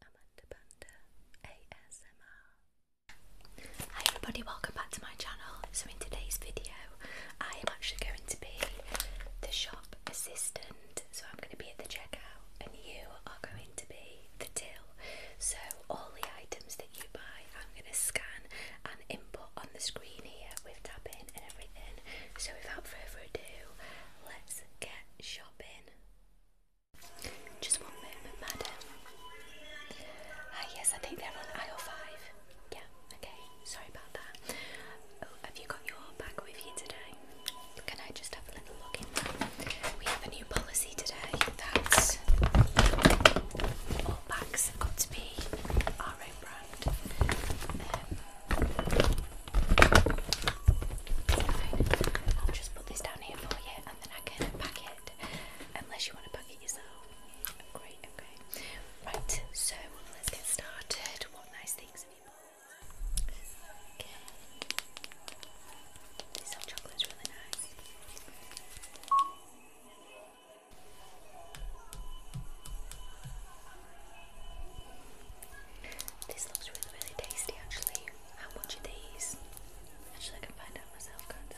Amanda Panda ASMR. Hi everybody, welcome back to my channel. So in today's video, I am actually going to be the shop assistant. So I'm going to be at the checkout and you are going to be the till. So all the items that you buy, I'm going to scan and input on the screen here with tapping and everything. So without further ado, let's get shopping. Just one moment, madam. Ah, yes, I think they're on aisle five. Yeah, okay, sorry about that. Oh, have you got your bag with you today? Can I just have a little look in We have a new policy today that all bags have got to be our own brand. Um, I'll just put this down here for you and then I can pack it. Unless you want to pack it yourself. Great, okay. Right, so let's get started. What nice things have you bought? This chocolate's really nice. This looks really, really tasty actually. How much are these? Actually, I can find out myself, can't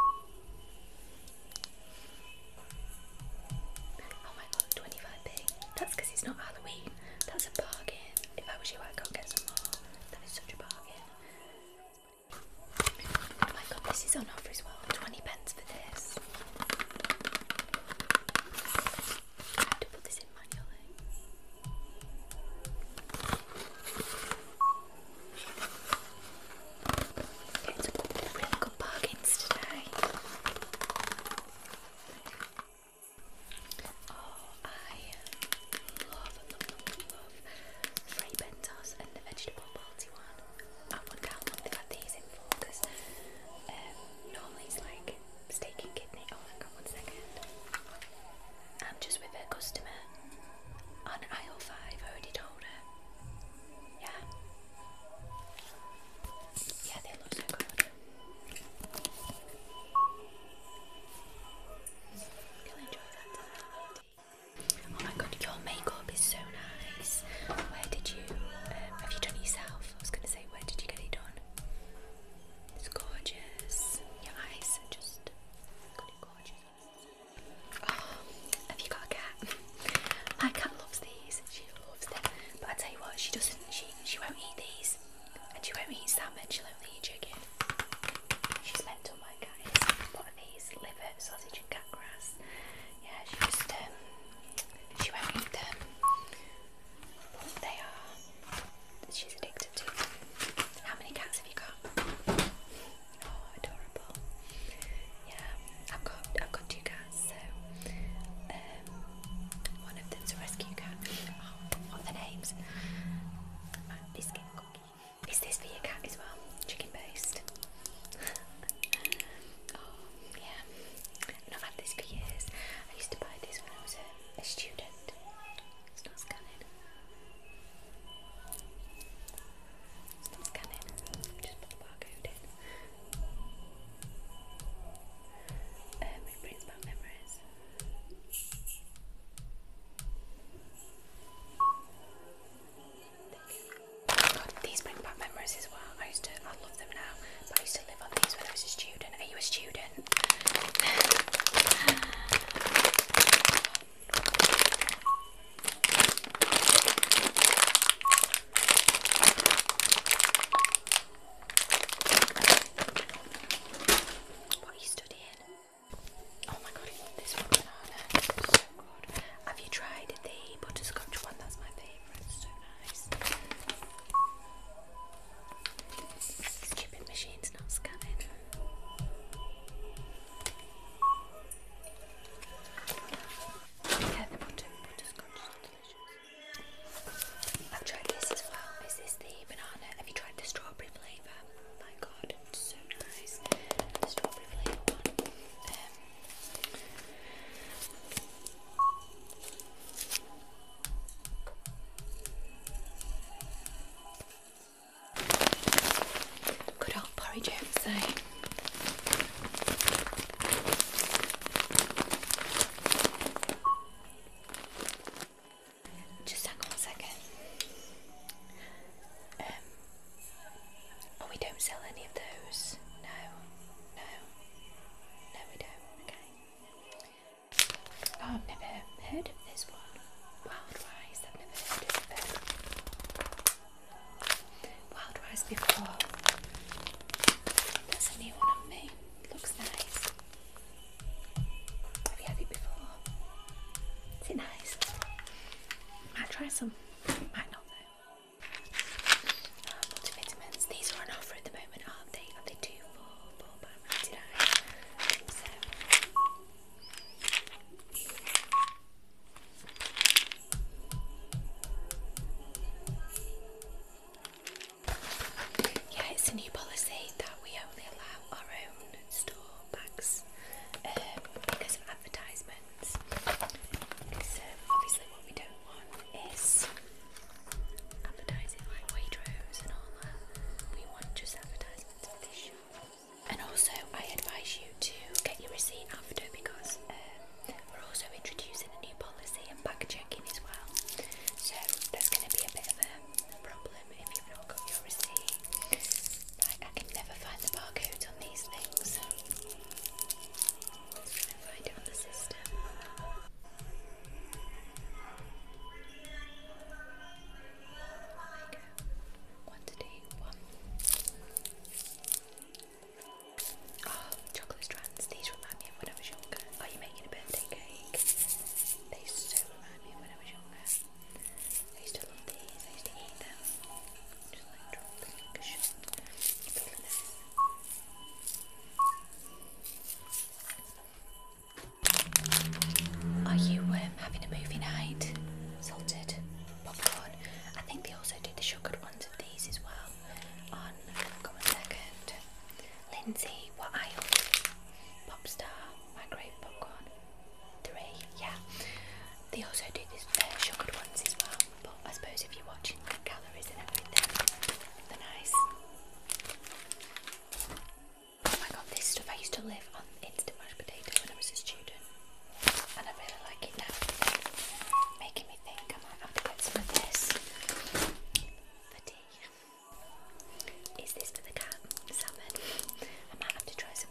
Oh my god, 25p. That's because it's not Halloween. That's a bargain. If I was you, I'd go and get some more. That is such a bargain. Oh my god, this is on offer as well. 20 pence for this. I have to put this in manually. Yeah, it's a really good bargains today. Oh, I love, love, love, love Frey Bentos and the vegetable party one. I wonder how long they've these in for because um, normally it's like steak, kidney. Oh my god, one second. I'm just with a customer on aisle five. I already told her. Yeah. Yeah, they are losing good. You'll enjoy that Oh my god, your makeup is so nice. Where did you? Um, have you done yourself? I was gonna say, where did you get it on? It's gorgeous. Your eyes are just gorgeous. Oh, have you got a cat? My cat loves these. She loves them. But I tell you what, she doesn't. She she won't eat these, and she won't eat that much. She'll only eat chicken. She's bent on my cat is. A lot these liver, sausage, and cat grass. Yeah, she just um, she won't eat them. They are. She's addicted to. How many cats have you got? Oh, adorable. Yeah, I've got I've got two cats. So um, one of them's a rescue cat. Oh, what are the names? Uh, biscuit cookie. Is this for your cat as well? Chicken based. Oh, yeah. And I've had this for years. I used to buy this when I was a, a student. It's not scanning. It's not scanning. Just put the barcode in. Um, it brings back memories. Thank you. God, these bring back memories as well. I used to, I love them now, but I used to live on these when I was a student. Are you a student? What are you studying? Oh my god, this one banana. so good. Have you tried the butterscotch one? That's my favourite. Stupid machine's not scanning. I've tried this as well. Is the banana? Have you tried the strawberry flavour? Oh my god, so nice. The strawberry flavour one. Um, Good old porridge outside. Eh? Just hang on second. Um, oh, we don't sell any of those. No. No. No, we don't. Okay. I've never heard of this one. Wild rice. I've never heard of it. Wild rice before. That's a new one on me. Looks nice. Have you had it before? Is nice? Might try some. Might not these are on offer at the moment, aren't they? Are they two for four pound ninety nine? Yeah, it's a new policy that we only allow our own store bags um, because advertisement ones. obviously, what we don't want is advertising like Waitrose and all that. We want just advertisements And also, I advise you to get your receipt after because um, we're also introducing a new policy and back checking as well. So, that's going to be a bit of a problem if you've not got your receipt. I can never find the barcodes on these things chocolate strands. These remind me of when I was younger. Are you making a birthday cake? They so remind me of when I was younger. I used to love these. I used to eat them. Are you um, having a movie night? Salted popcorn. I think they also do the sugared ones of these as well. On come on second. Lindsay, what aisle? Popstar, microwave popcorn. Three, yeah. They also do these uh, ones as well, but I suppose if you're watching the calories and everything, they're nice. I oh got this stuff. I used to live on instant mashed potatoes when I was a student, and I really like it now. Making me think I might have to get some of this for tea. Is this for the cat? Salmon. I might have to try some.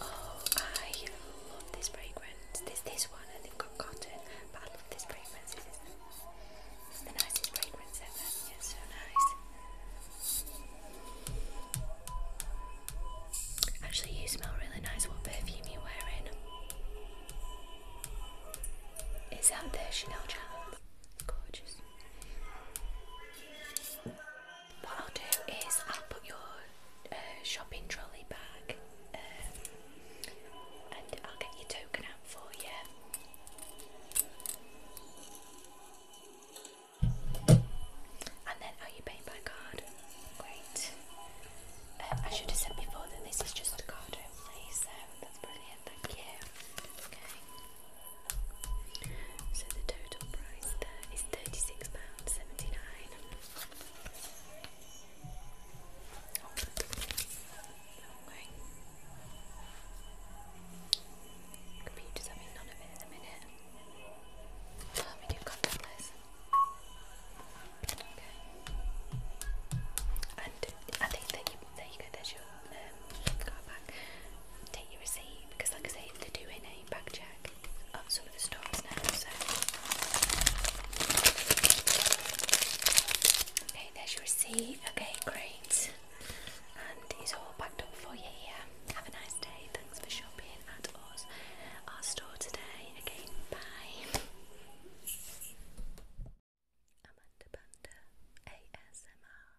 Oh, I love this fragrance. This this one, and they've got cotton, but I love this fragrance. it's the nicest fragrance ever. It's so nice. Actually, you smell really nice. What perfume you wearing? Is that the Chanel Charm? Gorgeous. What I'll do is I'll put your uh, shopping trolley back um, and I'll get your token out for you. And then, are oh, you paying by card? Great. Uh, I should have said before that this is just card only, so that's brilliant, thank you. So the total price there is £36.79. okay. Computer's having none of it in a minute. Oh, we do contactless. Okay. And I think that you, there you go, there's your take your receipt because, like I say, they're doing a bag check at some of the stores now. So, okay, there's your receipt. Okay, great, and it's all packed up for you here. Have a nice day. Thanks for shopping at us, our store today. Again, bye. Amanda Panda ASMR.